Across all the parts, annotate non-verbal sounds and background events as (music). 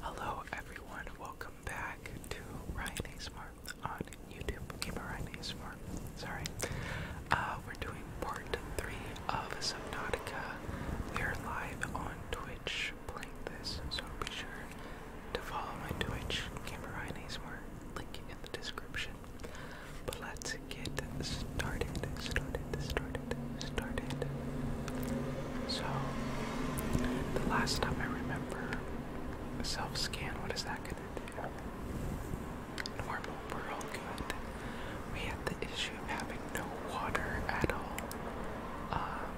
Hello everyone, welcome back to Ryan ASMR on YouTube. Gamer Ryan ASMR, sorry. Uh, we're doing part 3 of Subnautica. We are live on Twitch playing this, so be sure to follow my Twitch, Gamer Ryan ASMR, link in the description. But let's get started, started, started, started. So, the last time I remember self scan, what is that gonna do? Normal, we're all good. We had the issue of having no water at all, um,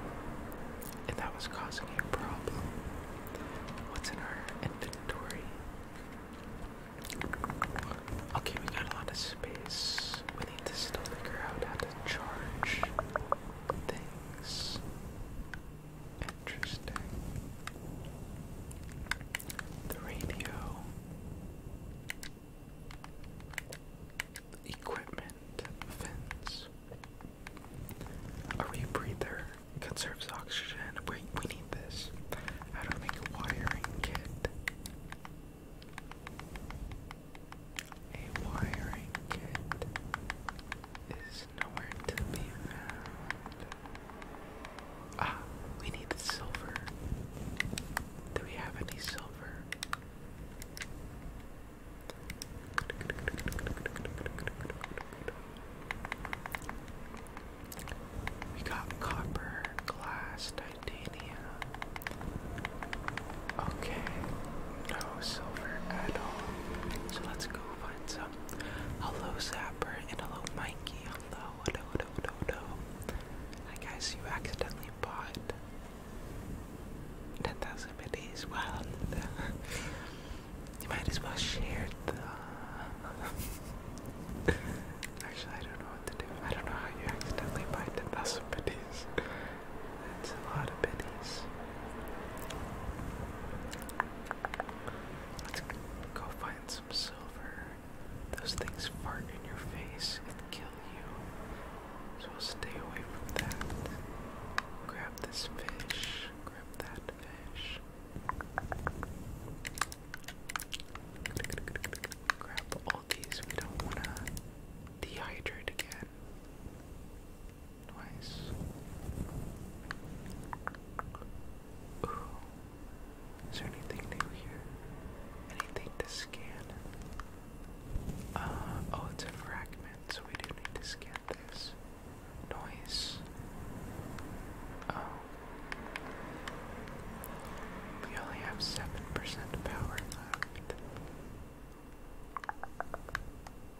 and that was causing a problem. What's in our inventory? Okay, we got a lot of space. We need to still figure out how to charge things things. Interesting. The radio. equipment. Fins. A rebreather. Conserves oxygen. Wait, we need this. How to make a wiring kit. A wiring kit is nowhere to be found. Ah, we need silver. Do we have any silver? We got copper, glass, titanium, Okay, no silver at all. So let's go find some. Hello, Zapper, and hello, Mikey. Hello, hello, hello, hello, I guess you accidentally bought 10,000 minis. Well, (laughs) you might as well share the. (laughs) Actually, I don't know what to do. I don't know how you accidentally buy 10,000 minis. (laughs) That's a lot of pennies. Let's go find some silver. Those things fart in your face and kill you. So stay away from that. Grab this fish. Grab that fish. Grab all these. We don't want to dehydrate again. Nice. Is there anything new here? Anything to scan? Uh, oh, it's a fragment, so we do need to scan this. Noise. Oh. We only have 7% power left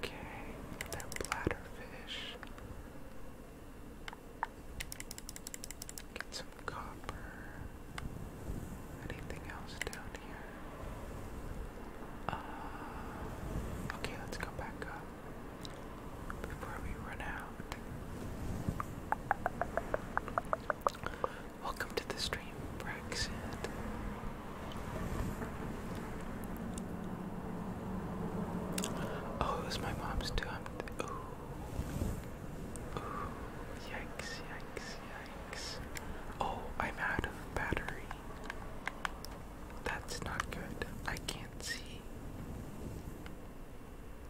Okay, they bladderfish. Get some copper. Anything else down here? Uh, okay, let's go back up before we run out. Welcome to the stream, Brexit. Oh, it was my mom's too. ooh. Ooh, yikes, yikes, yikes. Oh, I'm out of battery. That's not good. I can't see.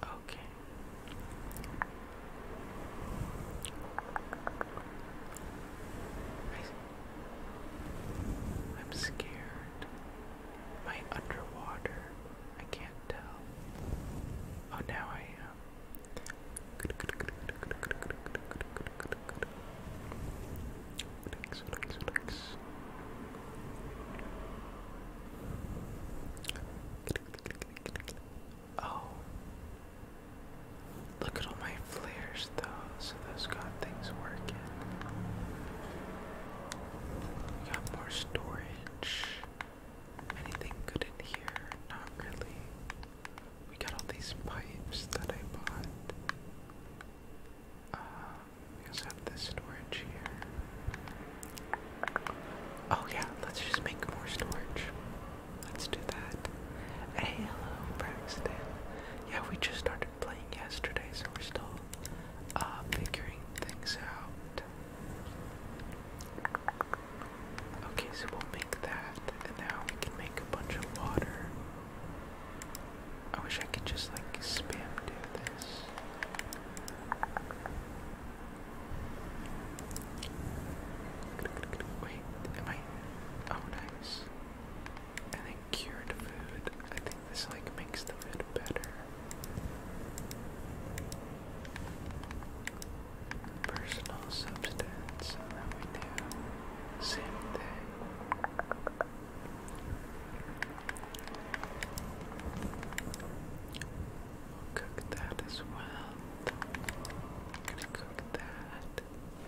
Okay. I'm scared. Am I underwater? I can't tell. Oh, now I am. Oh, Look at all my flares though, so those got things working. We got more storage. Anything good in here? Not really. We got all these pipes that I bought. Uh, we also have this storage here. Oh yeah, let's just make more storage. Let's do that. Hey, hello, Braxton. Yeah, we just started playing yesterday, so we're still uh, figuring things out. Okay, so we'll make that, and now we can make a bunch of water. I wish I could just like spam do this. Wait, am I? Oh, nice cured food. I think this like makes the food better. Personal substance, and we do same thing. cook that as well. I'm gonna cook that.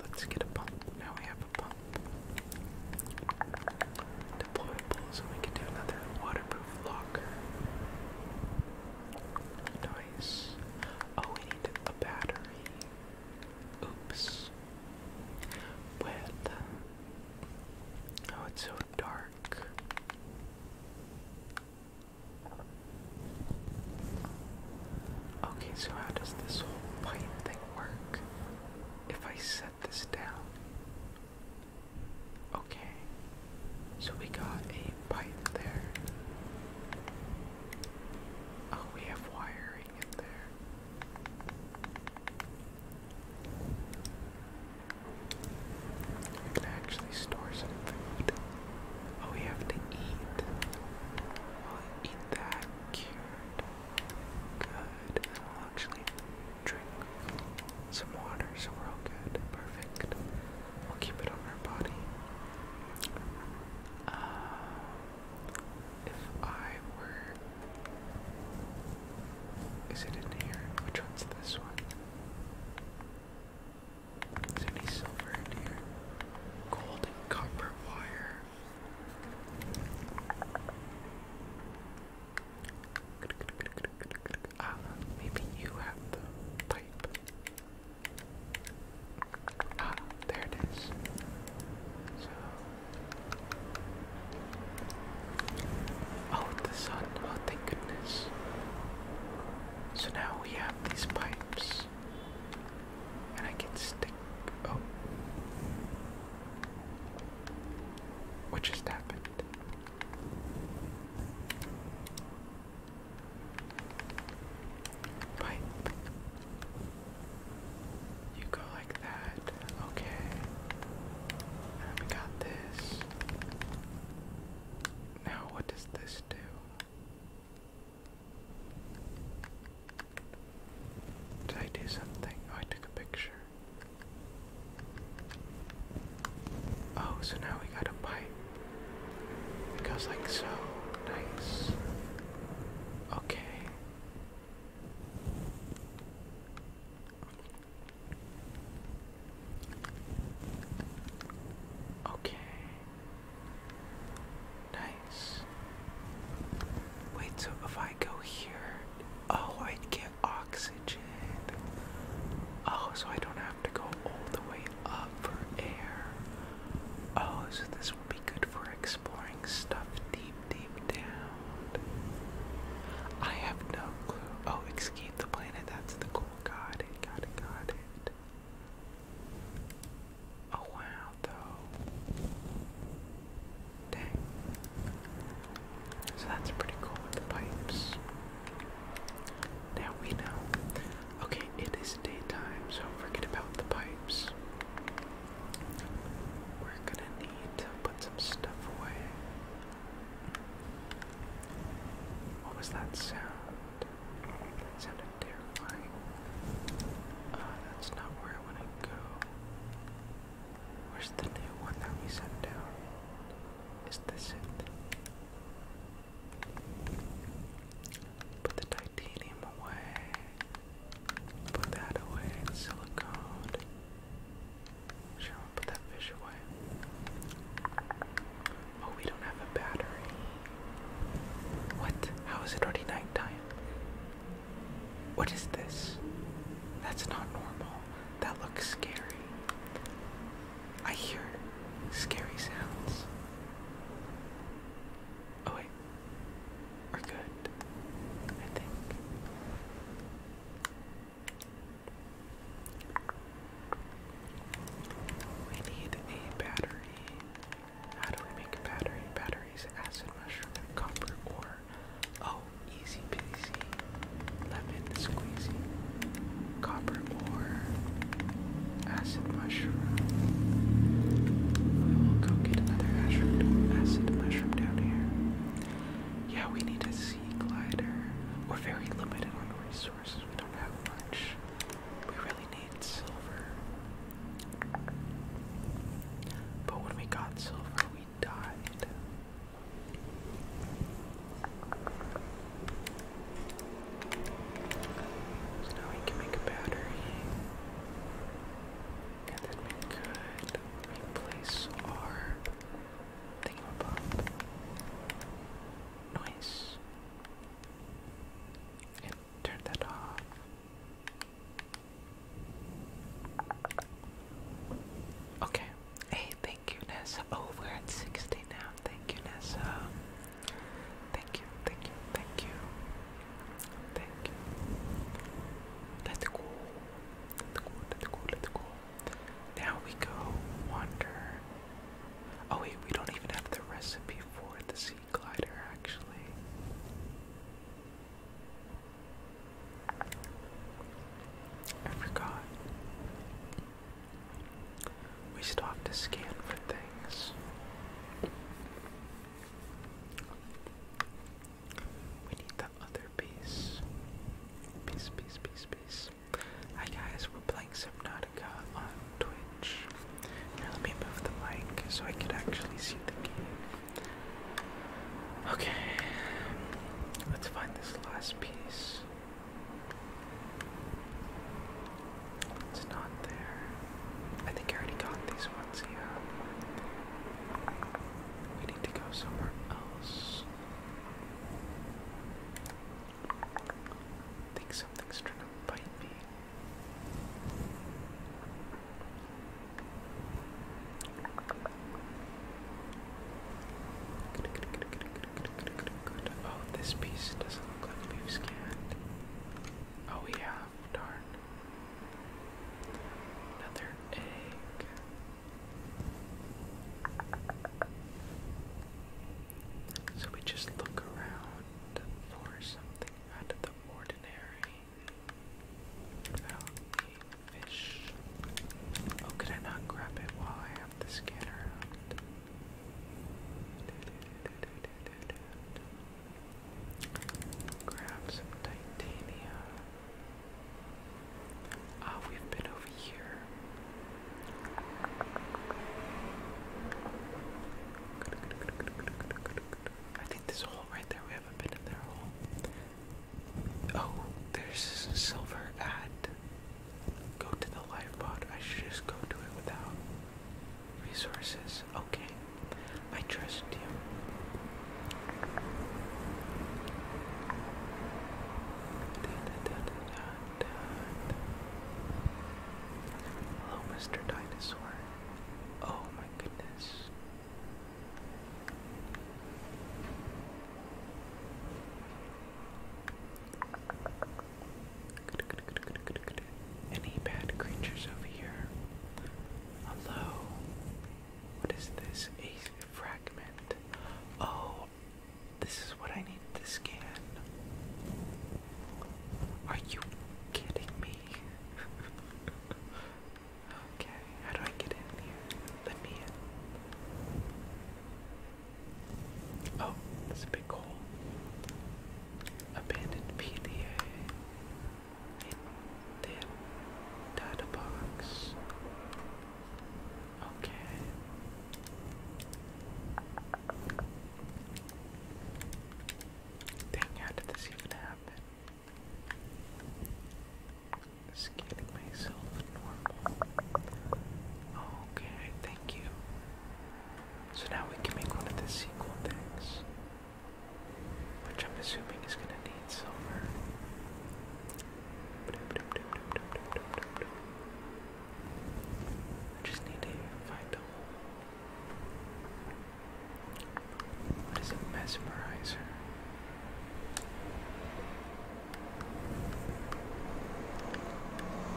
Let's get a pump. Now we have a pump. Deployable, so we can do another waterproof locker. Nice. Oh, we need a battery. Oops. With. Oh, it's so dark. Okay, so how does this whole pipe thing work? If I set this down. Okay. So we got a pipe there. Oh, we have wiring in there. We can actually store some food. Oh, we have to eat. I'll eat that cured. Good. we'll actually drink some water, so we're all good. Perfect. We'll keep it on our body. Uh, if I were. Is it in here? Which one's this one? Is any silver in here? Gold and copper wire. Ah, maybe you have the pipe. Ah, there it is. Oh, the sun. Oh, thank goodness. So now we have these pipes. And I can stick. Oh. What just happened? Pipe. You go like that. Okay. And we got this. Now, what does this do? Did I do something? Oh, I took a picture. Oh, so now we got a pipe. It goes like so. Nice. Okay. Okay. Nice. Wait, so if I go here, oh, I'd get oxygen. Oh, so I don't have to go all the way up for air. Oh, so this will be good for exploring stuff deep, deep down. I have no clue. Oh, escape the planet. That's the cool. Got got it, got it a while though. Dang. So that's pretty cool with the pipes. Now we know. Okay, it is daytime, so forget about the pipes. We're gonna need to put some stuff away. What was that sound? terrifying. Uh, that's not where I want to go. Where's the new one that we sent down? Is this it? Put the titanium away. Put that away. It's silicone. Sure, i put that fish away. Oh, we don't have a battery. What? How is it already nighttime? What is this? That's not normal. That looks scary. I hear scary sounds. Oh, wait. We're good. I think. We need a battery. How do we make a battery? Batteries, acid mushroom, copper ore. Oh, easy peasy. Lemon squeezy. Copper ore. Acid mushroom. We will go get another acid mushroom down here. Yeah, we need a sea glider. We're very limited on resources. We don't have much. We really need need silver. But when we got silver, we died. So now we can make a battery. And then we could replace our thingamabop. Nice. And turn that off. Okay. Hey, thank you, Nessa. Oh, at 60 now. Thank you, Nessa. Thank you, thank you, thank you. Thank you. Let's go. Let's go, let's go, let's go. Now we go wander. Oh, wait, we don't even have the recipe for the sea glider, actually. I forgot. We still have to scan for things. We need the other piece. Piece, piece, piece, piece. Hi guys, we're playing Subnautica on Twitch. Here, let me move the mic so I can actually see the game. Okay, let's find this last piece. It's not there. I think I already got these ones, yeah. We need to go somewhere else. I think something's trying to bite me. Oh, this piece doesn't look like we scanned. Oh, we have. Darn. Another egg. So we just look around for something out of the ordinary. Oh, oh, could I not grab it while I have the scanner Grab some titania. Ah, we've been over here. I think this hole right there, we haven't been in their hole. Oh, there's silver Add. Go to the live pod. I should just go to it without resources. Okay, I trust you. Hello, Mr. Dinosaur. Oh my goodness. Any bad creatures over here? Hello? What is this? A fragment. Oh, this is what I need to scan. Are you kidding me? (laughs) Okay, how do I get in here? Let me in. Oh, that's a big hole. Abandoned PDA. It did. Data box. Okay. Dang, how did this even happen? Just myself normal. Okay, thank you. So now we can make one of the sequel things. Which I'm assuming is gonna need silver. just need to find a what is a mesmerizer?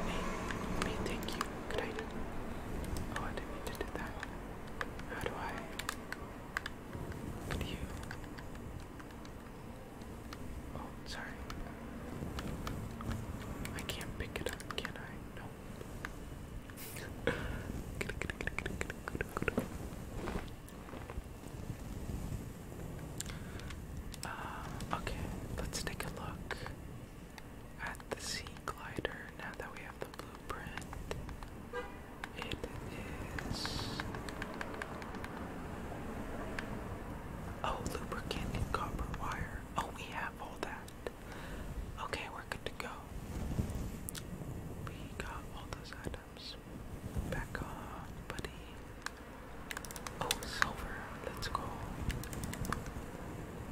Hey, hey, thank you. Could Oh, I didn't mean to do that. How do I? What you? Oh, sorry. I can't pick it up, can I? No. Uh, okay, let's take a look at the sea glider now that we have the blueprint. It is. Oh, lubricant and copper wire. Oh, we have all that. Okay, we're good to go we got all those items back on, buddy. Oh, silver, let's go.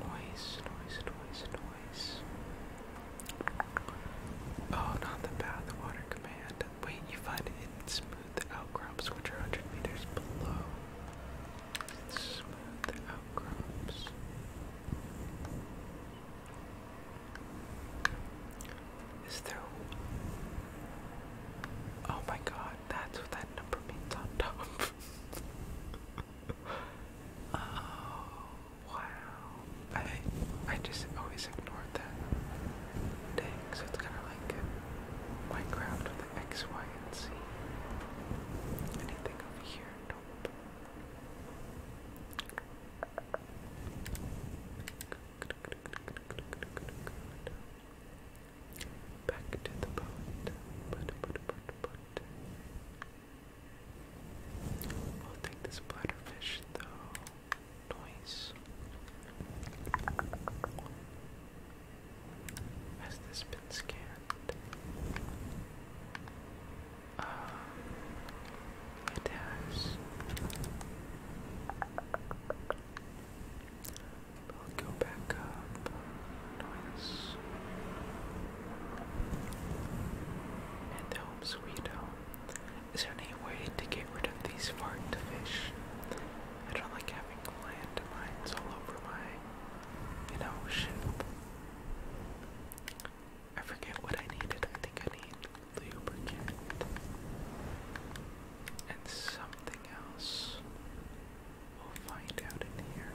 Noise, noise, noise, noise. Oh, not the path, water command. Wait, you find it in smooth outcrops, which are 100 meters below. Smooth outcrops is through. Oh my god, that's what that number means on top. (laughs) oh wow. I I just always ignored that. so it's kinda like Minecraft with the X, Y, and Z. Anything over here? Back to the boat. But, but, but, but. We'll take this bladderfish though. Noise. Has this been scanned? Uh, it has. I'll go back up. Noise. And home Is there any way to get rid of these fart fish? I don't like having landmines all over my, you know, I forget what I needed. I think I need lubricant and something else. We'll find out in here.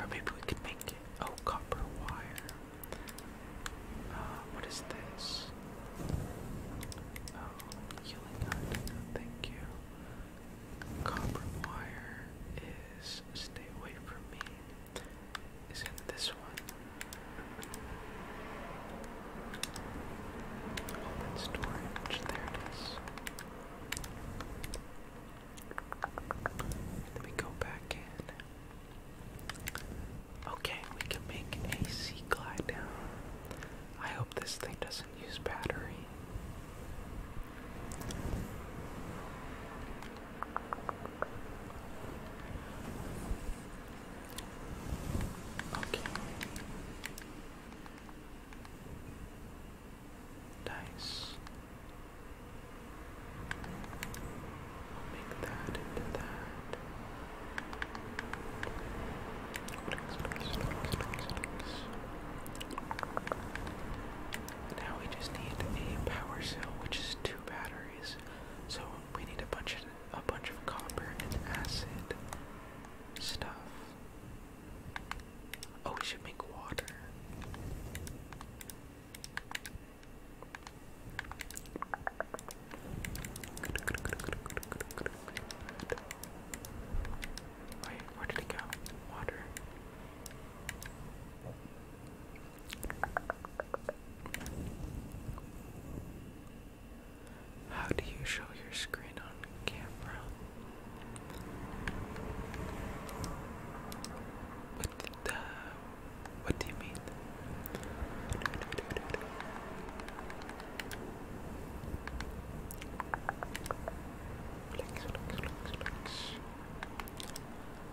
Or maybe we could make it. Oh, copper wire. Uh, what is this? Oh, healing hut. Thank you. Copper wire is stay away from me is in this one. Open oh, storage, there it is. Let me go back in. Okay, we can make a glide down. I hope this thing doesn't use battery. Okay. Nice. I'll make that into that. Nice, nice, nice, nice, nice. Now we just need a power cell, which is two batteries. So we need a bunch of a bunch of copper and acid stuff. Oh, we should make water. where did it go? Water. How do you show your screen on camera? What the? Uh, what do you mean?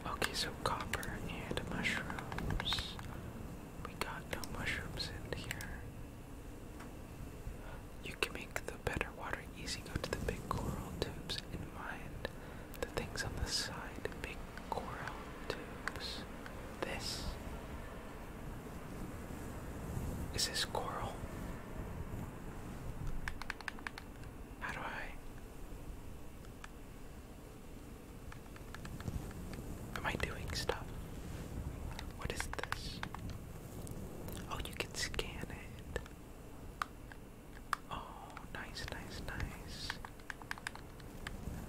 Okay, so copper and mushrooms. We got no mushrooms in here. You can make the better water easy. Go to the big coral tubes and mind the things on the side. Big coral tubes. This. Is this coral? How do I. Am I doing stuff? What is this? Oh, you can scan it. Oh, nice, nice, nice.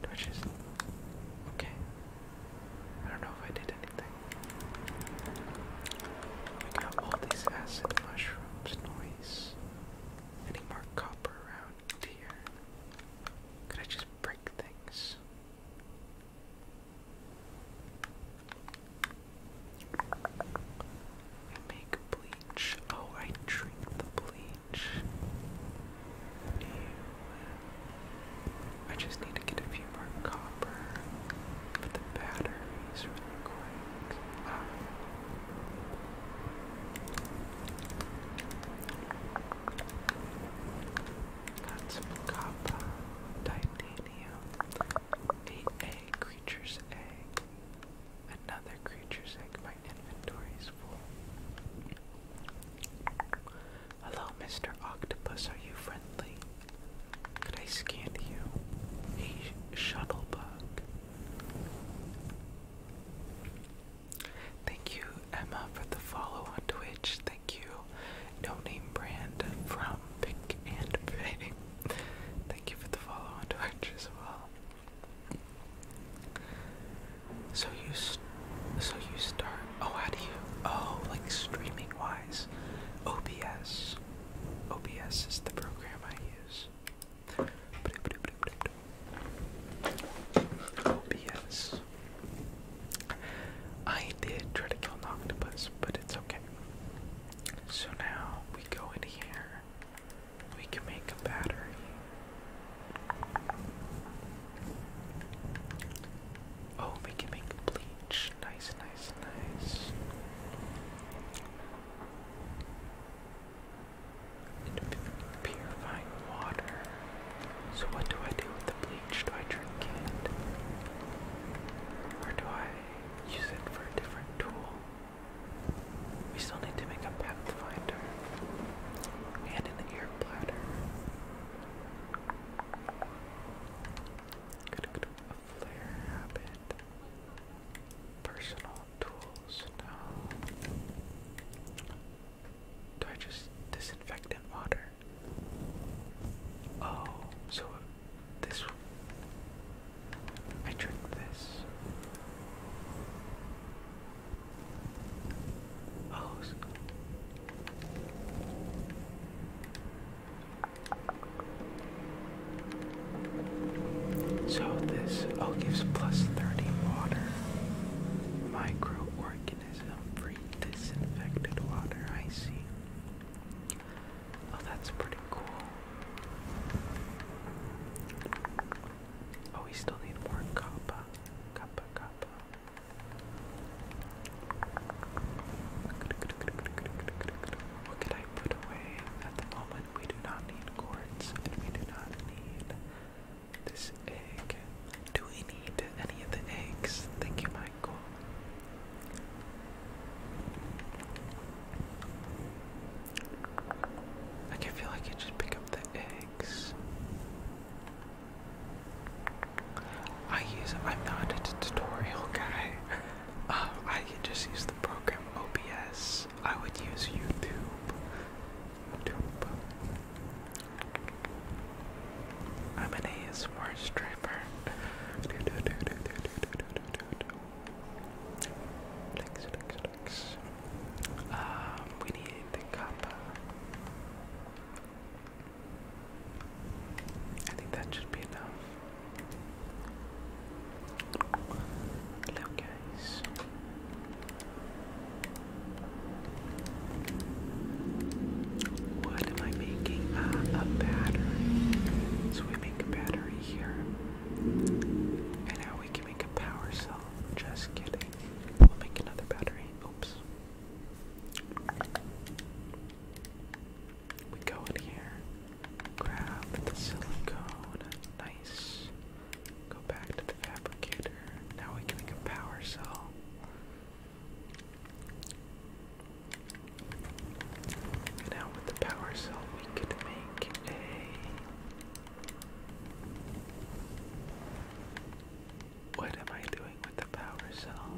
Do Okay. I don't know if I did anything. We got all these acid mushrooms. Noise. Any more copper around here? Could I just break things? make bleach. Oh, I drink the bleach. I just need to get a few more copper for the batteries really quick. Ah. That's a copper, titanium, a creature's egg, another creature's egg. My inventory is full. Hello, Mr. Octopus. Are you friendly? Could I scan you? A shuttle Thank you, Emma, for the follow on Twitch. Thank you, No Name Brand from Pink and Pay. (laughs) Thank you for the follow on Twitch as well. So you, so you start. Oh, how do you? Oh, like streaming wise, OBS. OBS is the program I use. OBS. I did try to kill an octopus, but it's okay. So now we go in here. We can make a battery. Oh, we can make bleach. Nice, nice, nice purifying water. So what do I do with the bleach? Do I drink it? Or do I use it for a different tool? We still need to make a pathfinder and an ear bladder. A flare habit. Personal tools, no. Do I just disinfectant water? Oh, so this I drink this. Oh. So this oh gives plus 30 water. Microorganism free disinfected water, I see. Oh that's pretty cool. Oh we still need more copper. Copper copper. What could I put away at the moment? iron. We do not need quartz, we do not need this egg. Do we need any of the eggs? Thank you, Michael. I can feel like I just pick up the eggs. I use I'm not a tutorial guy. (laughs) Um, I can just use the program OBS. I would use YouTube. I'm an ASMR streamer. Um, we need the cup. I think that should be enough. What am I making? a battery. So we make a battery here. And now we can make a power cell. Just kidding. We'll make another battery. Oops. We go in here. Grab the silicone. Nice. Go back to the fabricator. Now we can make a power cell. Now with the power cell we could make a what am I doing with the power cell?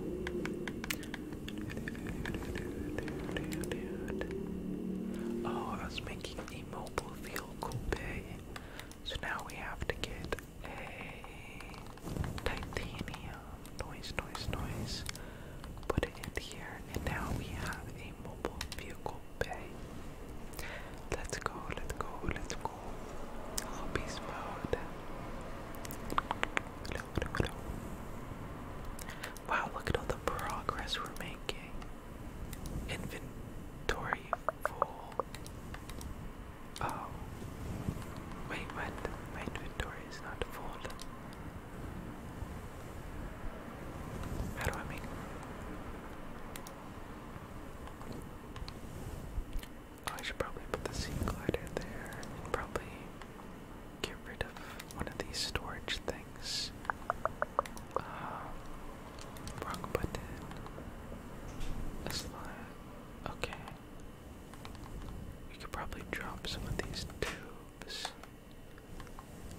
Oh, I was making a mobile vehicle bay. So now we have to get a titanium. Noise, noise, noise. Put it in here, and now we have a mobile vehicle bay. Let's go, let's go, let's go. Little mode. Wow, look at all the progress we're making. Inventory full. Oh. Wait, what? My inventory is not full. How do I make. Oh, I should probably put the sea glider there and probably get rid of one of these storage things. Uh, button. A slide. Okay. We could probably drop some of these tubes.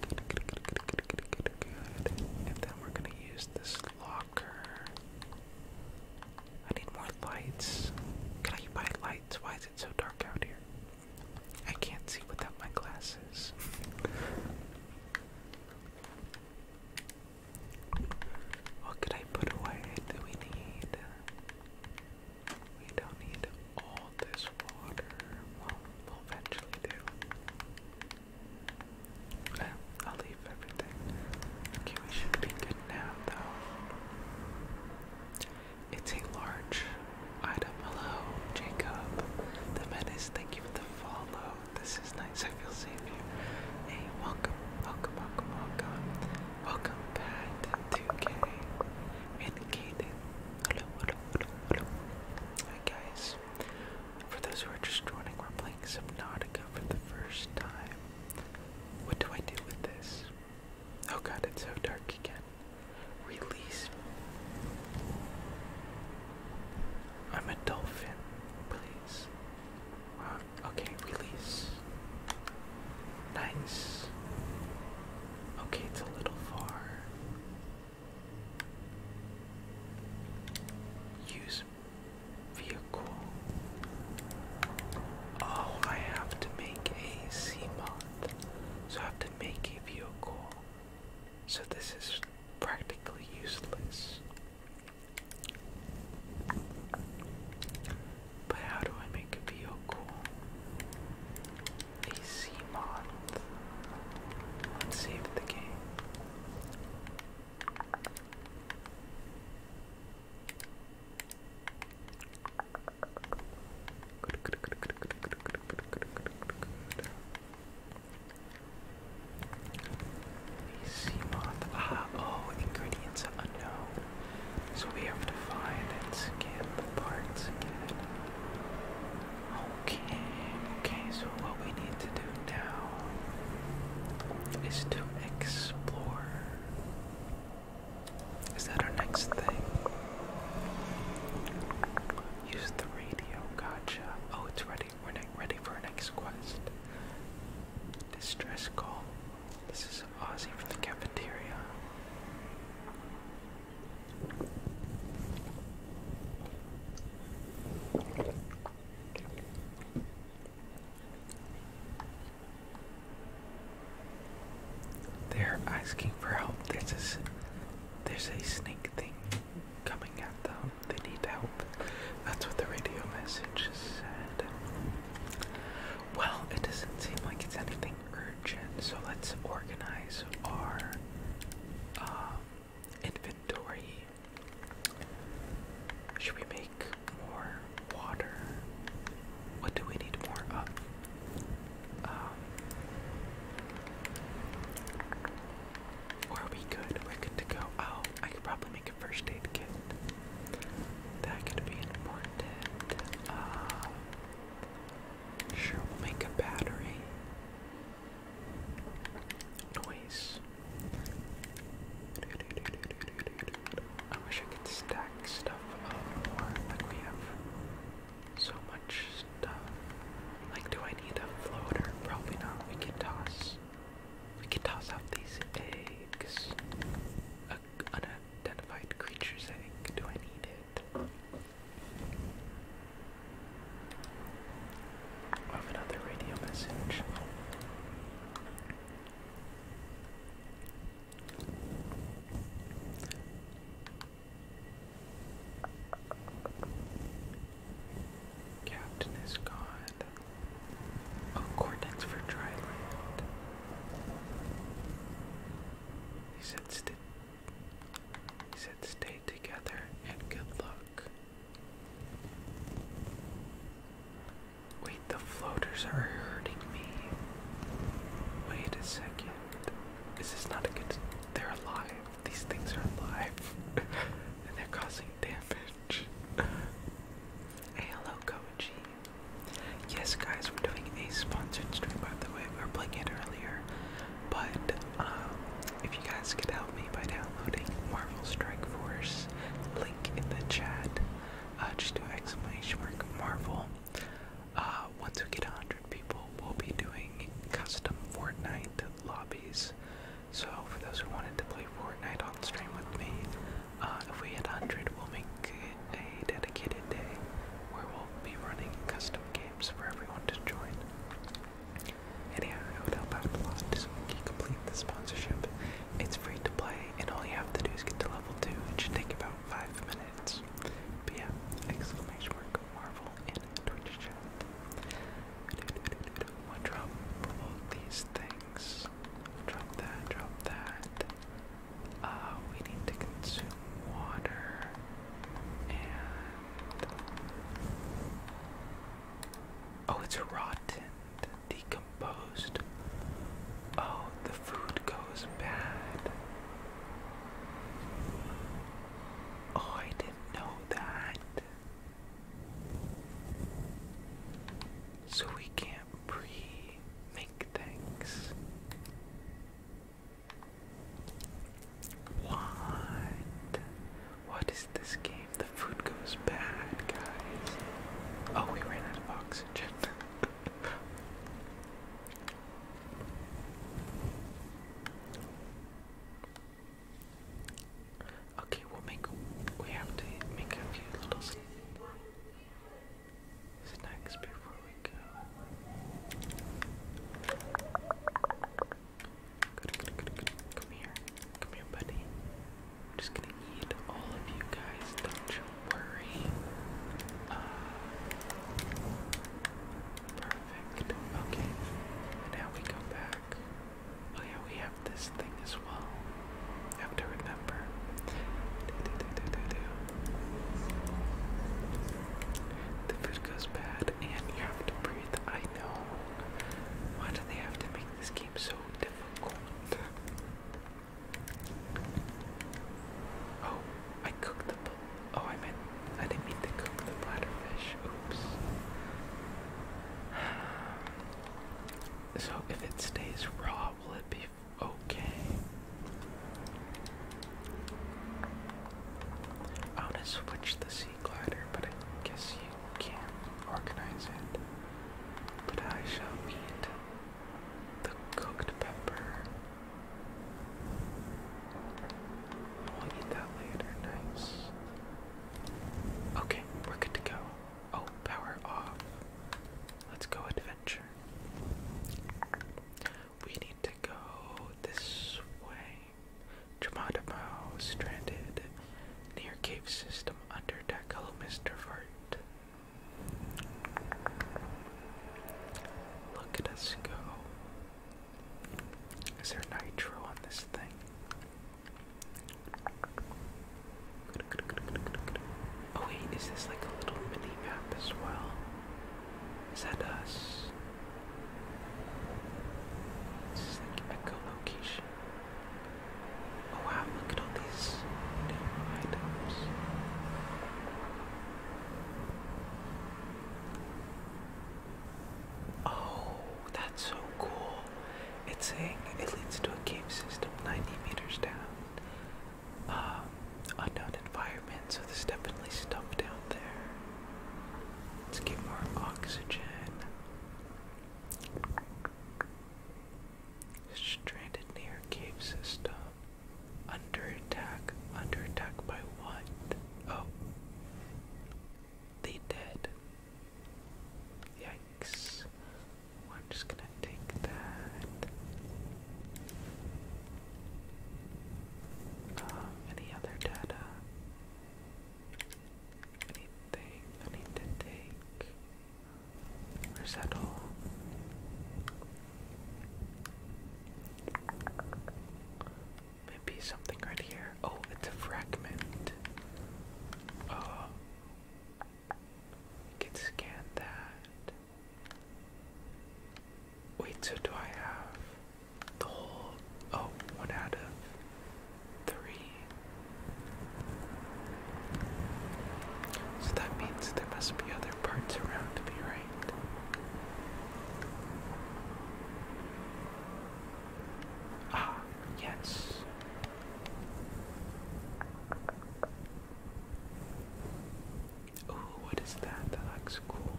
good, good, good, good, good, good, good. And then we're gonna use this locker. I need more lights. Can I buy lights? Why is it so dark out here? I can't see without my glasses. What could I put away? Do we need? We don't need all this water. Well, we'll eventually do. Eh, I'll leave everything. Okay, we should be good now, though. It's a large item. below, Jacob. The menace. Thank you for the follow this is nice. I feel safe here. Hey, welcome, welcome, welcome, welcome. Welcome back to 2K. Vindicated. Hello, hello, hello, hello. Hi guys. For those who are just joining, we're playing Subnautica for the first time. What do I do with this? Oh god, it's so dark again. Release. I'm a dolphin, please. Uh, okay, release. Nice. Okay, it's a little far. Use vehicle. Oh, I have to make a sea mod. So I have to make a vehicle. So this is practically useless. But how do I make a vehicle? A sea model. save the game. A sea Ah, oh, ingredients unknown. So we have to find and scan the parts again. Okay, okay, so what we need to do now is to explore. Is that our next thing? Use the radio, gotcha. Oh, it's ready we're not ready for our next quest. Distress call. This is Ozzy from the cafeteria. They're asking for help. There's a, there's a snake thing coming at them. They need help. That's what the radio message said. Well, it doesn't seem like it's anything urgent, so let's organize our um, inventory. Should we make more water? What do we need more of? Um, are we good? We're good to go. Oh, I could probably make a first aid kit. That could be important. Uh, sure, we'll make a battery. Noise. I wish I could stack stuff up more. Like we have so much stuff. Like, do I need a floater? Probably not. We can toss we can toss out these eggs. A unidentified creature's egg. Do I need it? I another radio message. Captain is gone. A Cortex for dry land. He said, st he said stay together and good luck. Wait, the floaters are hurting me. Wait a second. This Is not a good... They're alive. These things are alive. (laughs) and they're causing damage hello, coachy. Yes, guys, we're doing a sponsored stream, by the way. We were playing it earlier. But um, if you guys could help me by downloading Marvel Strike Force, link in the chat, uh, just do exclamation mark Marvel. Uh, once we get 100 people, we'll be doing custom Fortnite lobbies. So for those who wanted to play Fortnite on stream with me, uh, if we hit 100, we'll make a dedicated day where we'll be running custom games for everyone to join. And it would help out a lot so complete the sponsorship. It's free to play, and all you have to do is get to level 2. It should take about 5 minutes. But yeah, exclamation mark Marvel in Twitch chat good. drop both these things. Drop that, drop that. Uh, we need to consume water. And. Oh, it's rotten, decomposed. Oh, the food goes bad. Oh, I didn't know that. So we can't pre make things. What? What is this game? The food goes bad, guys. Oh, we ran out of oxygen. Okay, we'll make. We have to make a few little snacks before we go. Come here, come here, buddy. I'm just gonna eat all of you guys. Don't you worry. Uh, perfect. Okay. now we go back. Oh yeah, we have this thing as well. have to remember. The food goes bad, and you have to breathe. I know. Why do they have to make this game so difficult? Oh, I cooked the. Oh, I meant I didn't mean to cook the bladderfish. Oops. So if it stays raw, will it be okay? I want to switch the sea glider, but I guess you can't organize it. But I shall eat the cooked pepper. We'll eat that later, nice. Okay, we're good to go. Oh, power off. Let's go adventure. We need to go this way. Jamadamo stranded near cave system under deck. Hello, Mr. Vart. Look at us go. Is there nitro on this thing? Oh wait, is this like a little mini map as well? Is us? This is like echolocation. Oh wow, look at all these items. Oh, that's so cool. It's saying it leads to a cave system 90 meters down. Um, unknown environment, so there's definitely stuff down there. Let's get more oxygen. Stranded near cave system. Under attack. Under attack by what? Oh. The dead. Yikes. I'm just gonna take that. Uh, any other data? Anything I need to take? Or that all? Maybe something right here. Oh, it's a fragment. Uh, I can scan that. Wait, so do I have the whole oh one out of three? So that means there must be other parts around me, right? Ah, yes. Ooh, what is that? That looks cool.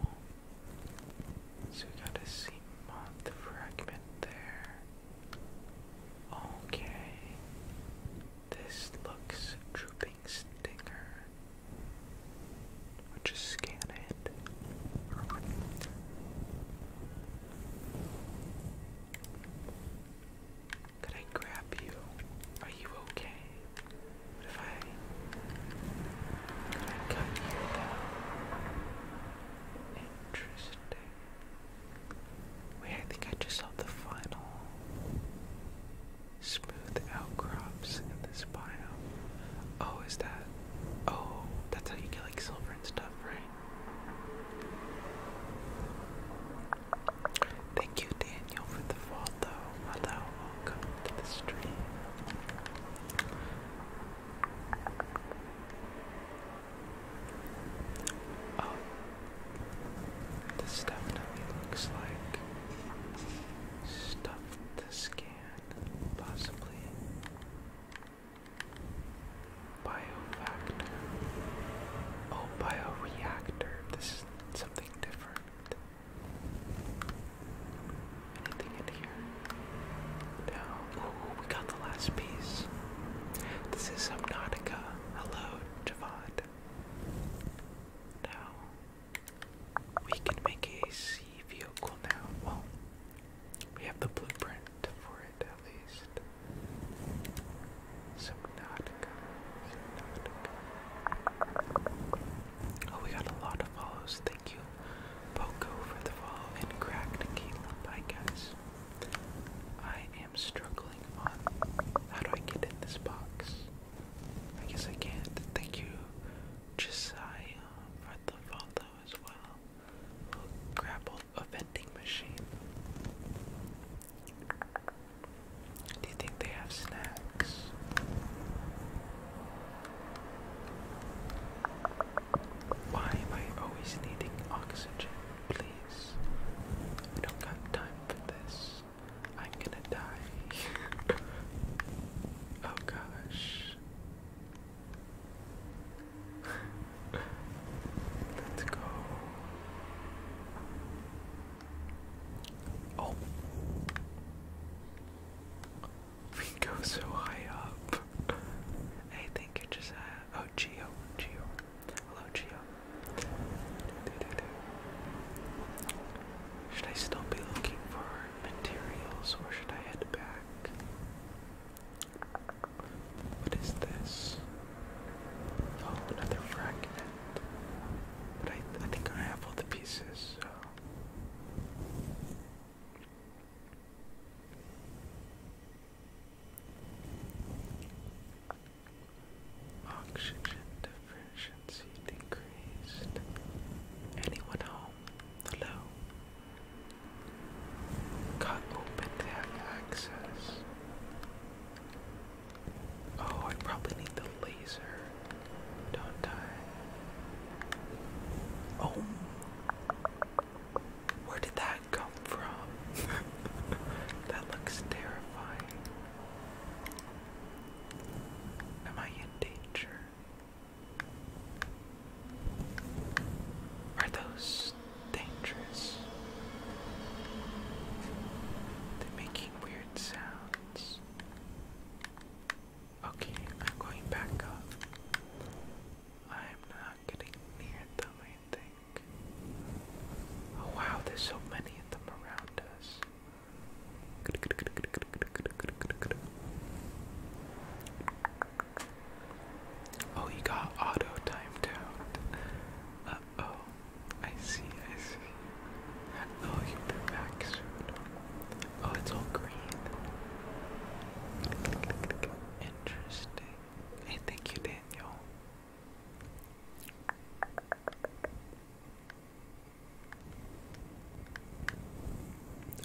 So we got a sea moth fragment there. Okay. This looks drooping stinger. We'll just scan it. Could I grab you? Are you okay? What if I could I cut you Interesting. Wait, I think I just saw the final smooth outcrops in this biome. Oh, is that? Oh, that's how you get like silver and stuff, right? Thank you, Daniel, for the follow. Hello, welcome to the stream. Oh, this definitely looks like stuff to scan, possibly. Biofactor. Oh, bioreactor. This is something different. Anything in here? No. Ooh, we got the last piece. This is Subnautica. Hello, Javad. Now, we can make a sea vehicle now. Well, we have the blueprint for at least. Subnautica. Subnautica. Oh, we got a lot of follows. Thank you, Poco, for the follow, and Cracked Caleb, I guess. I am struggling how do I get in this box? I guess I can't. Thank you, Josiah, for the follow as well. grapple a vending machine. Do you think they have snacks? Why am I always needing oxygen? Please. I don't got time for this. I'm gonna die. (laughs) oh gosh. Let's go. Oh. We go so high up. I think it just Oh, Geo. Geo. Hello, Geo. Should I still be looking for materials or should I head back? What is this? Oh, another fragment. I, think I have all the pieces, Oxygen deficiency decreased. Anyone home? Hello? Cut open to access. Oh, I probably need the laser. Don't die. Oh. Where did that come from? (laughs) that looks terrifying. Am I in danger? Are those dangerous. They're making weird sounds. Okay, I'm going back up. I'm not getting near them, I think. Oh, wow, there's so many of them around us. Oh, he got auto timed Oh, I see, I see. Oh, you are back soon. Oh, it's all green. Interesting. Hey, thank you, Daniel.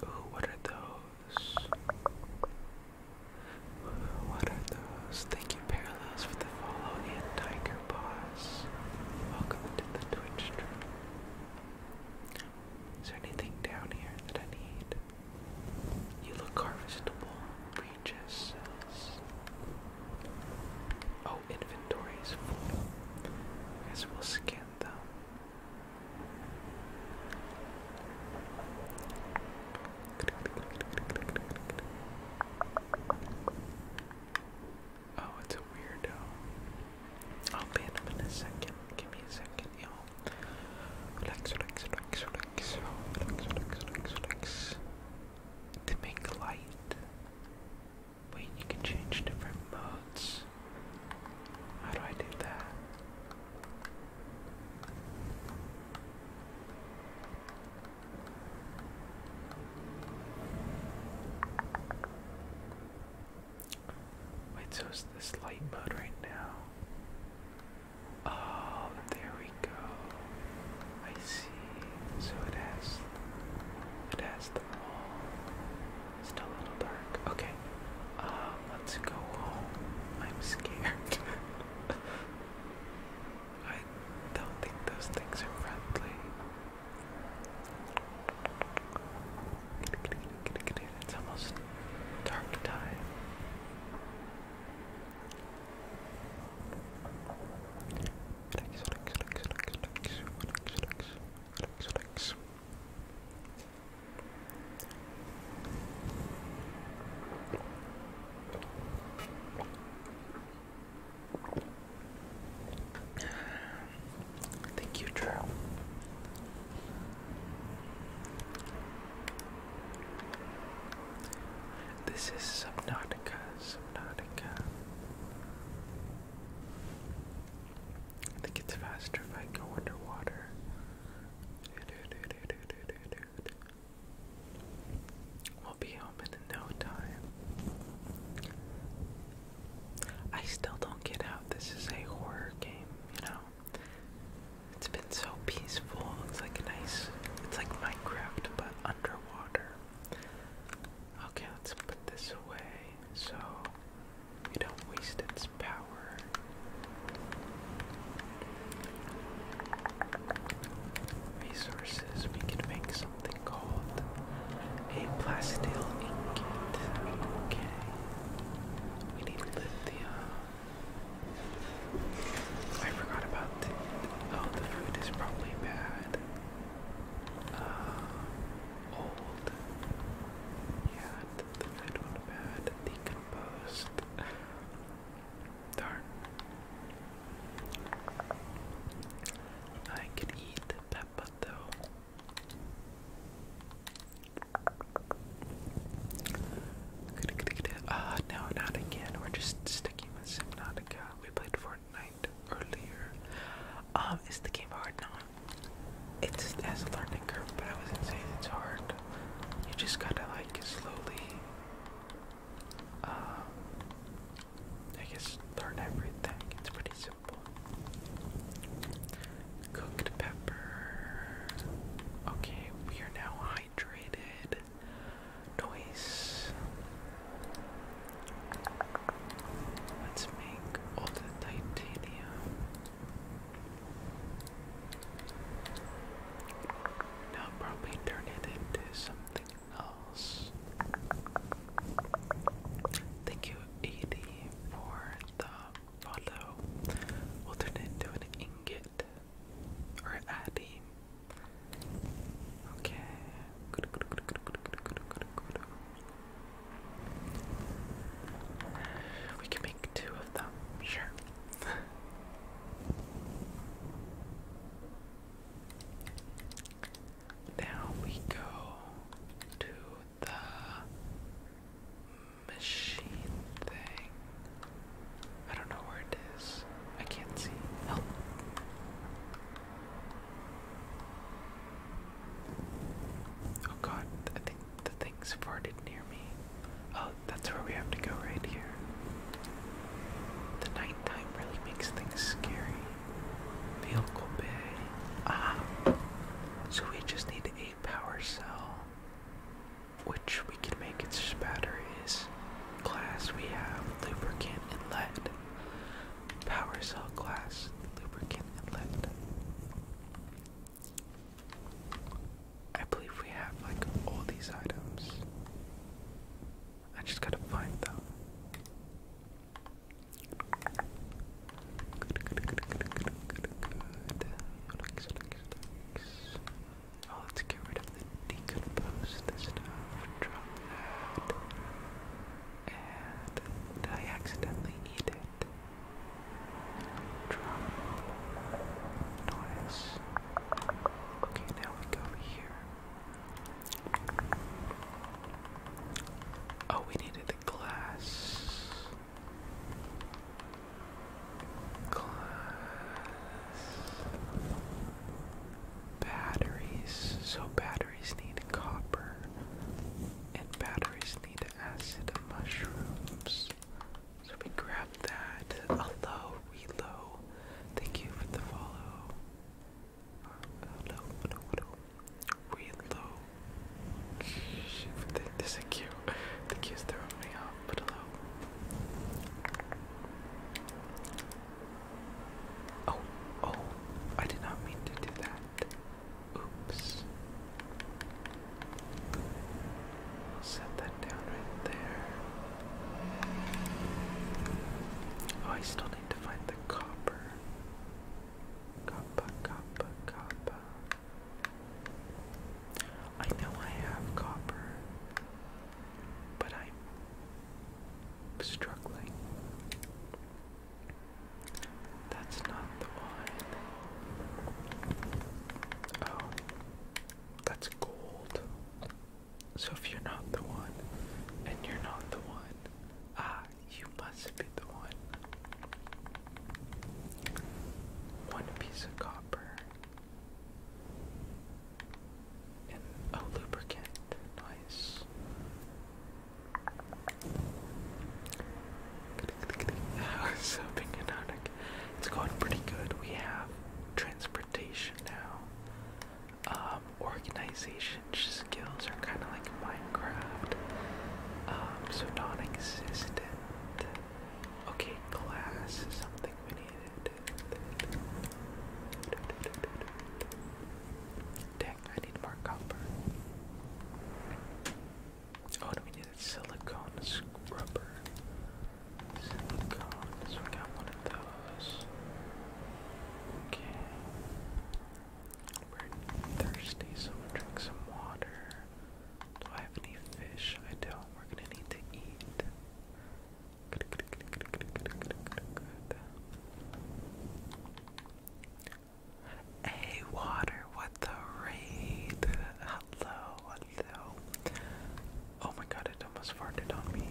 Ooh, what are those? What are those? Thank you, Parallels, for the follow and Tiger Paws. Welcome to the Twitch stream. Is there anything down here that I need? You look harvestable. Breaches. Oh, inventory I guess we'll scan them. Oh, it's a weirdo. I'll be him in a second. Give me a second, yo. Relax, relax, relax, relax, relax, relax, relax, relax. To make light. Wait, you can change different modes. How do I do that? Wait, so it's this light mode right now. Oh, there we go. I see. So it has it has the wall. Still a little dark. Okay. Um, let's go home. I'm scared. (laughs) I don't think those things are friendly. It's almost dark time. Thank you, Drew. This is Subnautica, Subnautica. I think it's faster if I go underwater. We'll be home in no time. I still don't get how this is a horror game, you know? It's been so peaceful. It's like a nice. It's like Minecraft, but underwater. Okay, let's put this away so we don't waste its power resources, we can make something called a plastil ingot. Okay. We need lithium. I forgot about the oh the food is probably bad. Uh, old. Yeah, the food went bad. Decomposed. Darn. I could eat the pepper though. Uh, no, not again. We're just sticking with Subnautica. We played Fortnite earlier. Um, is the game hard? No. It's, it has a learning curve, but I wasn't saying it's hard. You just gotta like slowly um, I guess learn everything. It's pretty simple. Cooked pepper. Okay, we are now hydrated. Noise. Let's make all the titanium. Now probably turn it into something else. Thank you, AD, for the follow. We'll turn it into an ingot or Addy. Okay. We can make two of them, sure. Now we go to the machine thing. I don't know where it is. I can't see. Help. Oh god, I think the thing's farted near me. Oh, that's where we have to go right here. The nighttime really makes things scary. Vehicle bay. Ah. So we just need a power cell. Which we can make its just batteries. Glass we have lubricant and lead. Power cell glass, lubricant and lead. I believe we have like all these items. I just gotta find them. Good, good, good, good, good, good, good. Relax, relax, relax. Oh, let's get rid of the decompose stuff. Drop that. And I accidentally eat it? Drop noise. Okay, now we go here. Oh, we needed the glass. Glass. Batteries. So batteries need copper. And batteries need acid mushrooms. So we grab that. Hello, Relo. Thank you for the follow low, low, low, real low. This is cute. The kids throw me off, hello. Oh, oh, I did not mean to do that. Oops. set that down right there. Oh, I still to find the copper. Copper, copper, copper. I know I have copper, but I'm struggling. That's not the one. Oh, that's gold. So if you're not the one, and you're not the one, ah, you must be the one. One piece of copper. And a lubricant. Nice. That (laughs) was so big and It's going pretty good. We have transportation now um, organization skills are kind of like Minecraft, um, so non-existent. Okay, class is something we needed. Dang, I need more copper. Oh, and we needed silicone scrubber thirsty, so drink some water. Do I have any fish? I don't. We're gonna need to eat. Hey, water, what the raid? Hello, hello. Oh my god, it almost farted on me.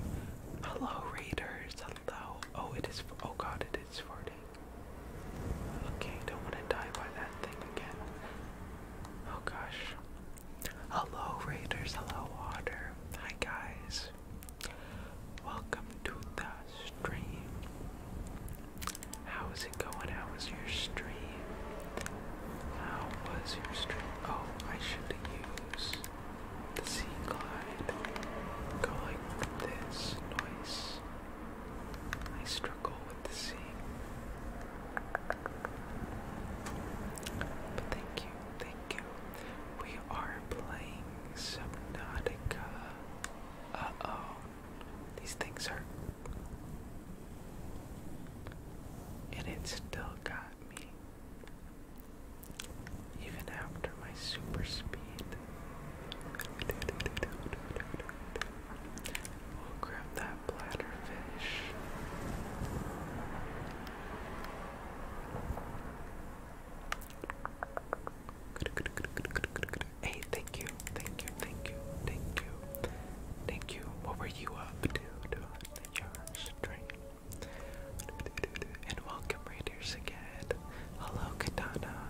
Hello, raiders. Hello. Oh, it is. Oh God, it is farting. Okay, don't want to die by that thing again. Oh gosh. Hello, raiders. Hello, water. Hi, guys. Welcome to the stream. How is it going? How was your stream? How was your stream? Oh, I should use the sea glide. Go like this. Nice. I struggle with the sea. But thank you, thank you. We are playing Subnautica. Uh-oh. These things are and it still got me. Even after my super speed. We'll grab that bladderfish. Hey, thank you, thank you, thank you, thank you, thank you. What were you up to during and welcome Raiders again. Hello Katana.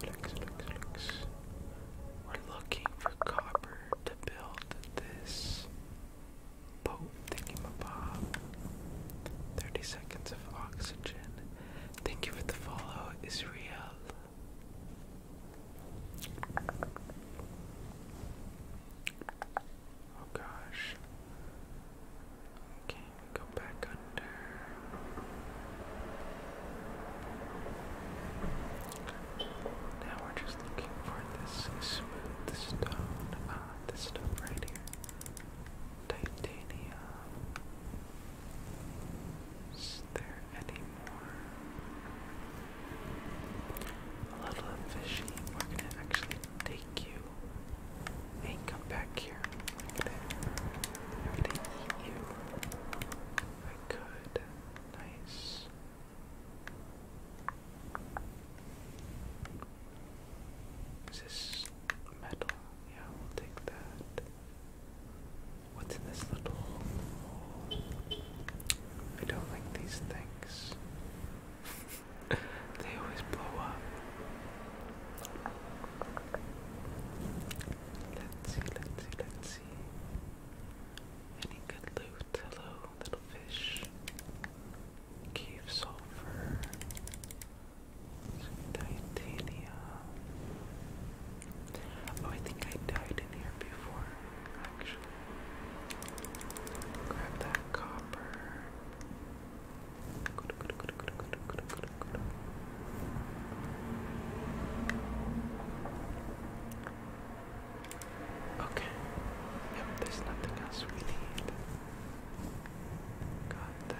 We're looking for copper to build this boat thingamabob. 30 seconds of oxygen. Thank you for the follow, Israel. Oh gosh. Okay, go back under. Now we're just looking for this smooth stone. Ah, this stuff right here. Titanium. Is there any more? A little fishy. We're gonna actually take you and come back here. Look eat you. I could. Nice. Is metal? Yeah, we'll take that. What's in this little hole? I don't like these things they always blow up. Let's see, let's see, let's see. Any good loot? Hello, little fish. Cave titanium. Oh, I think I died in here before, actually. Grab that copper. Okay. Yep, there's nothing else we need. Got that.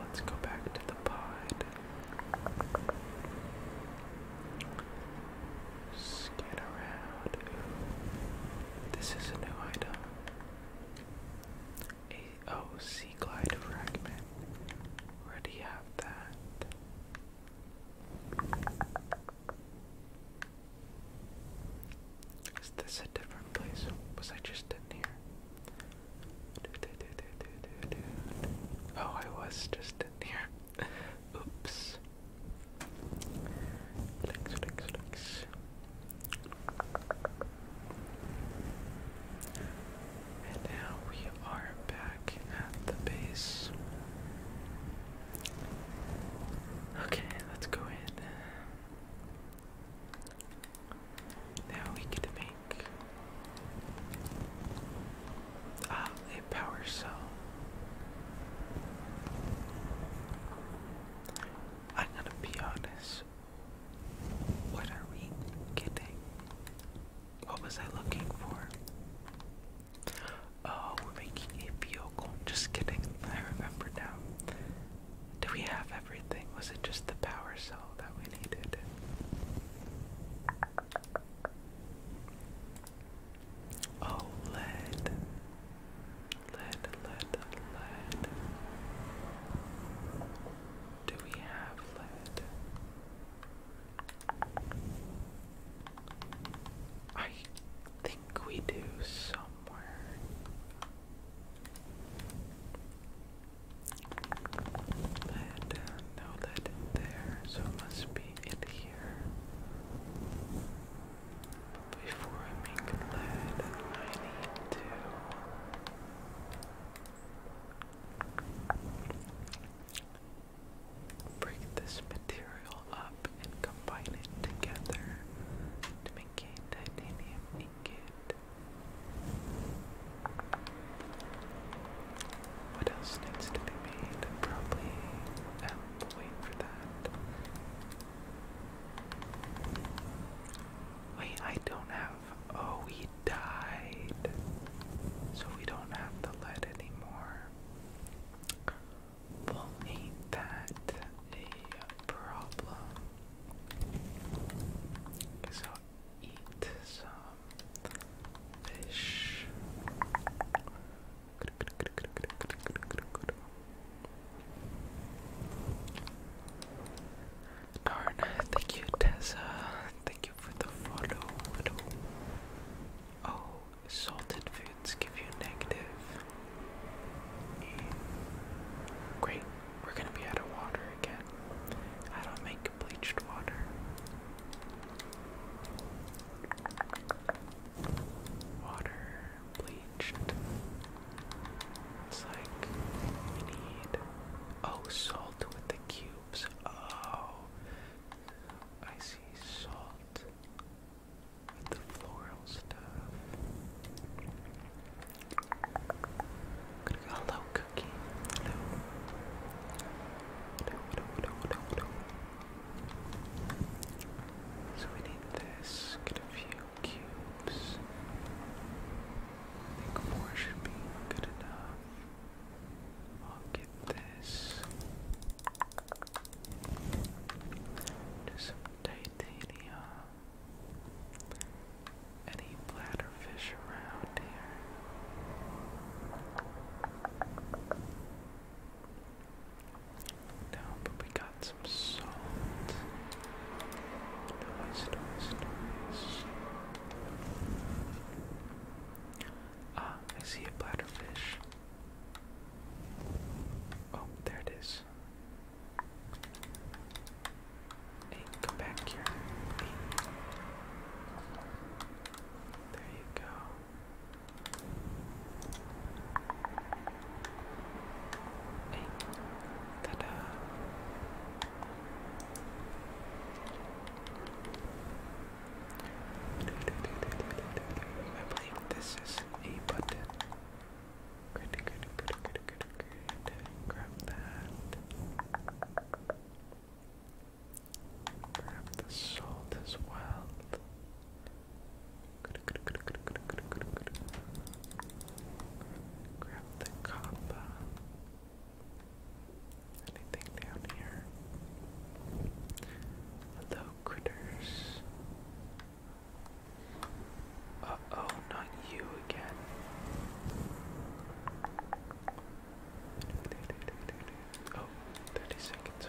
let's go back to the pod. Scan around. This is a new item. A glide fragment. Already have that. Is this a different place? Was I just in here? Oh, I was just here. Oops. Relax, relax, relax. And now we are back at the base. Okay, let's go in. Now we get to make make um, a power cell. I'm gonna be honest. What are we getting? What was I looking for? Oh, we're making a vehicle. Just kidding. I remember now. Do we have everything? Was it just the power cell that we needed? Oh, lead. Lead, lead, Do we have lead? I think we do somewhere. Lead, no lead in there, so it must be it here. before I make that, I need to break this material up and combine it together to make titanium ingot. What else needs to be made? Probably um, wait for that. Wait, I don't have. Oh, we died. So we don't have the lead anymore. Well, ain't that a problem? So eat some fish. Darn, thank you, Tessa. Thank you for the follow. Oh, salted foods give you negative. Great, we're gonna be out of water again. I don't make bleached water. Water bleached. It's need oh salt with the cubes. Oh I see salt with the floral stuff. Hello cookie. So we need this, get a few cubes. I think four should be good enough. I'll get this. Do titanium. Any bladderfish around here? No, but we got some salt. Nice, nice, nice. Ah, I see a bladderfish. Oh, there it is. Hey, come back here. There you go. Hey, ta I believe this is a button. Grab that. Grab the salt as well. Grab the copper. Anything down here? Hello, critters. Uh oh, not you again. Oh, seconds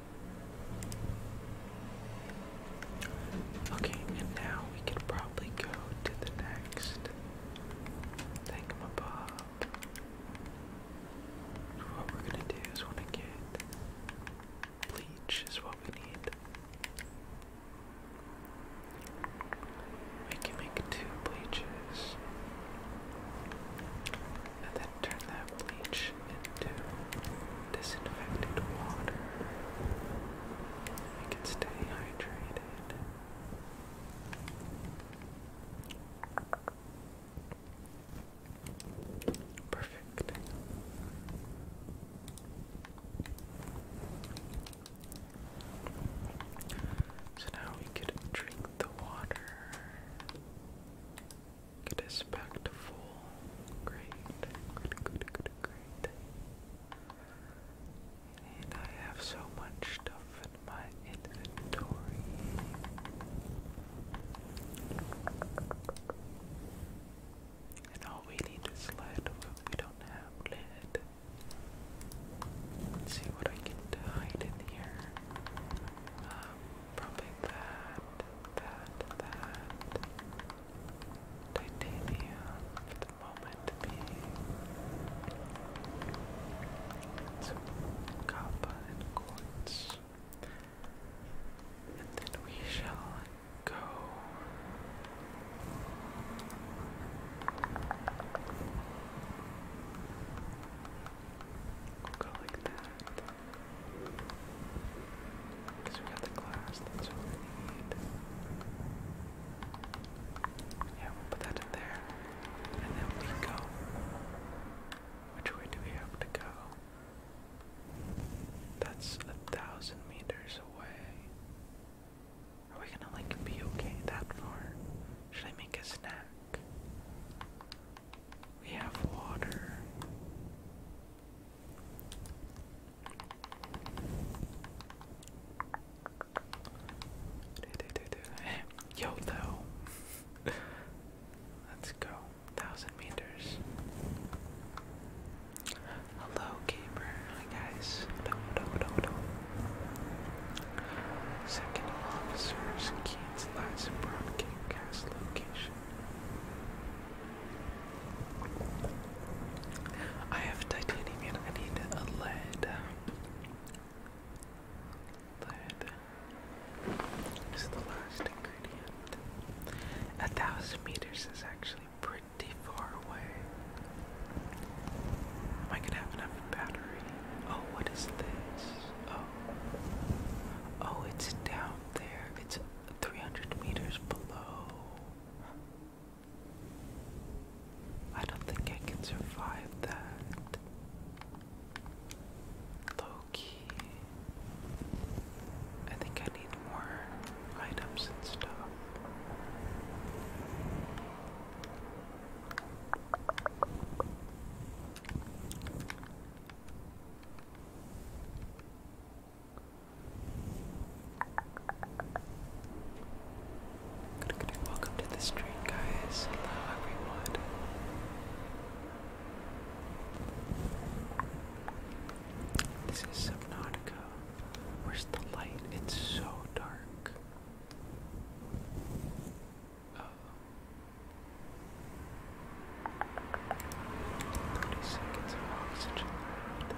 Okay, and now we could probably go to the next thingamabob. What we're gonna do is wanna get bleach is what we need. We can make two bleaches. And then turn that bleach into disinfected water. I can stay hydrated. Perfect. So now we could drink the water. Get us back to full. Great. Good, good, good, great And I have so much stuff in my inventory. And all we need is lead, we don't have lead. see what I can hide in here. Um, probably that, that, that titanium for the moment being. Some copper and quartz. And then we shall go. go like that. Because we got the glass, that's what we need. Yeah, we'll put that in there. And then we go. Which way do we have to go? That's a thousand meters away. Are we gonna like be okay that far? Should I make a snack? We have water. (laughs) Yo, (laughs) Let's go. Thousand meters. Hello, gamer. Hi, guys. No, no, no, no. Second officer's Keats lies in location. I have titanium and I need a lead. Lead is the last ingredient. A thousand meters is actually pretty far away. Am I gonna have enough battery? Oh, what is this? Oh. Oh, it's down there. It's 300 meters below. I don't think I can survive that. Loki. I think I need more items and stuff. Good, good, welcome to the stream, guys. Hello, everyone. This is Subnautica. Where's the light? It's so dark. 30 seconds of oxygen left.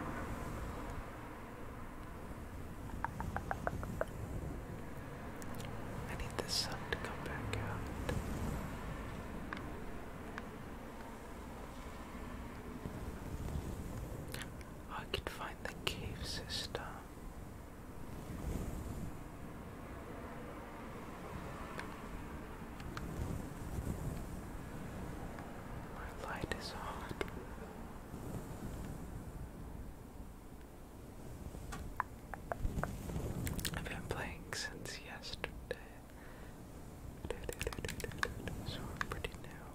I need the sun to come back out. I can find the cave system. My light is on. I've been playing since yesterday. So we're pretty new.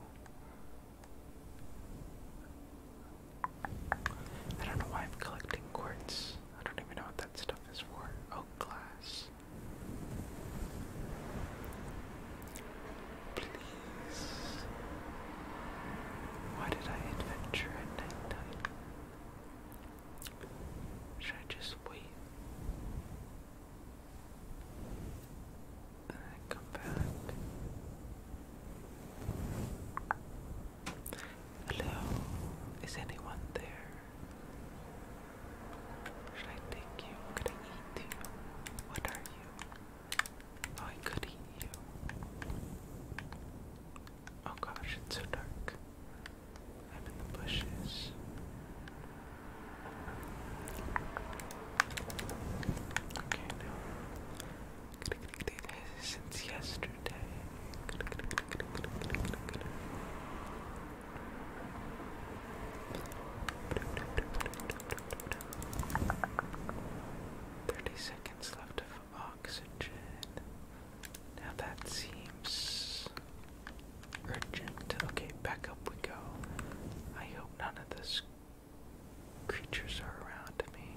I don't know why I'm collecting quartz. I don't even know what that stuff is for. Oak oh, glass. Please. Why did I adventure at night Should I just wait? And then come back. Hello, is anyone there? Should I take you? Could I eat you? What are you? Oh, I could eat you. Oh gosh, it's so dark. I'm in the bushes. Okay, now. Since yesterday. Thirty seconds left of oxygen. Now that seems urgent. Okay, back up we go. I hope none of this creatures are around me.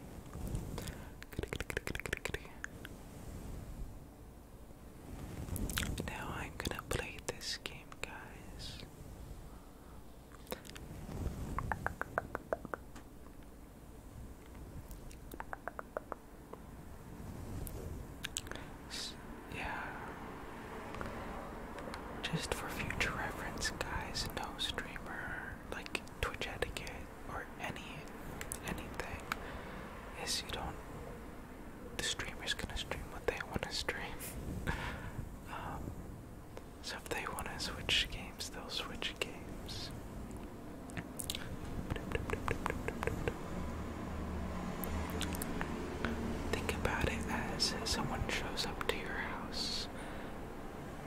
Now I'm gonna play this game, guys yeah. Just for future reference, guys, no streamer like Twitch etiquette or any anything is you don't the streamer's gonna stream what they wanna stream. (laughs) Um, so if they want to switch games, they'll switch games. Think about it as someone shows up to your house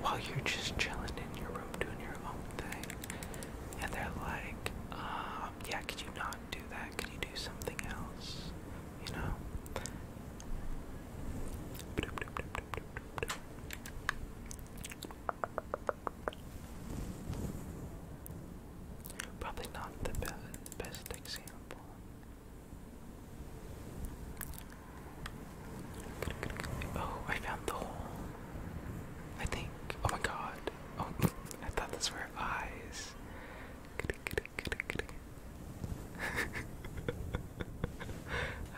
while you're just chilling in your room doing your own thing, and they're like, um, yeah, could you not do that? Could you do something else? You know? Probably not the be best example. Oh, I found the hole. I think. Oh my god. Oh, (laughs) I thought those were eyes. (laughs) I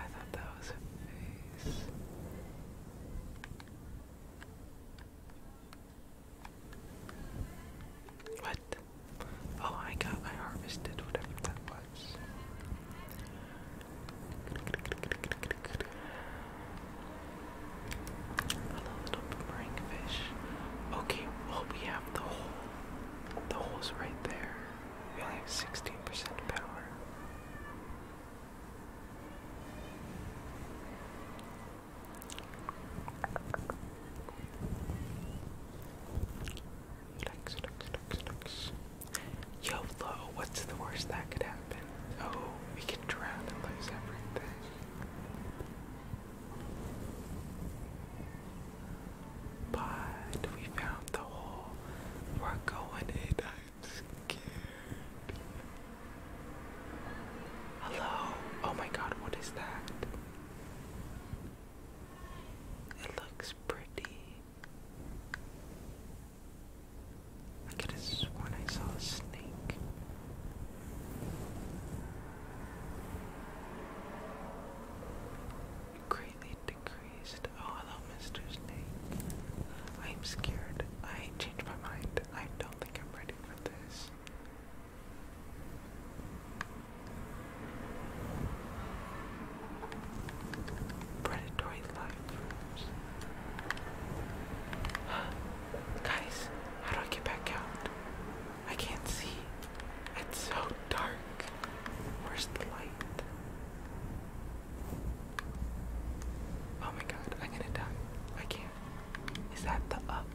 thought that was a face. What? Oh, I got, I harvested whatever that was. A little boomerang Okay, well, we have the whole the hole's right there. We only have 16% power. Flex, flex, flex, flex. YOLO, what's the worst that could happen? Oh, we can drown and lose everything. But we found the hole. We're going in. I'm scared. Hello? Oh my god, what is that? It looks pretty. I could have sworn I saw a snake. Greatly decreased. Oh, hello, Mr. Snake. I'm scared. I changed my mind. I don't think I'm ready for this. Predatory life (gasps) Guys, how do I get back out? I can't see. It's so dark. Where's the light? Oh my god, I'm gonna I can't. Is that the up?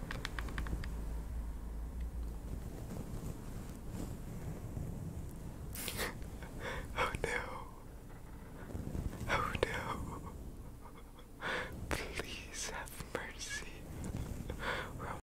(laughs) oh no. Oh no. Please have mercy. (laughs)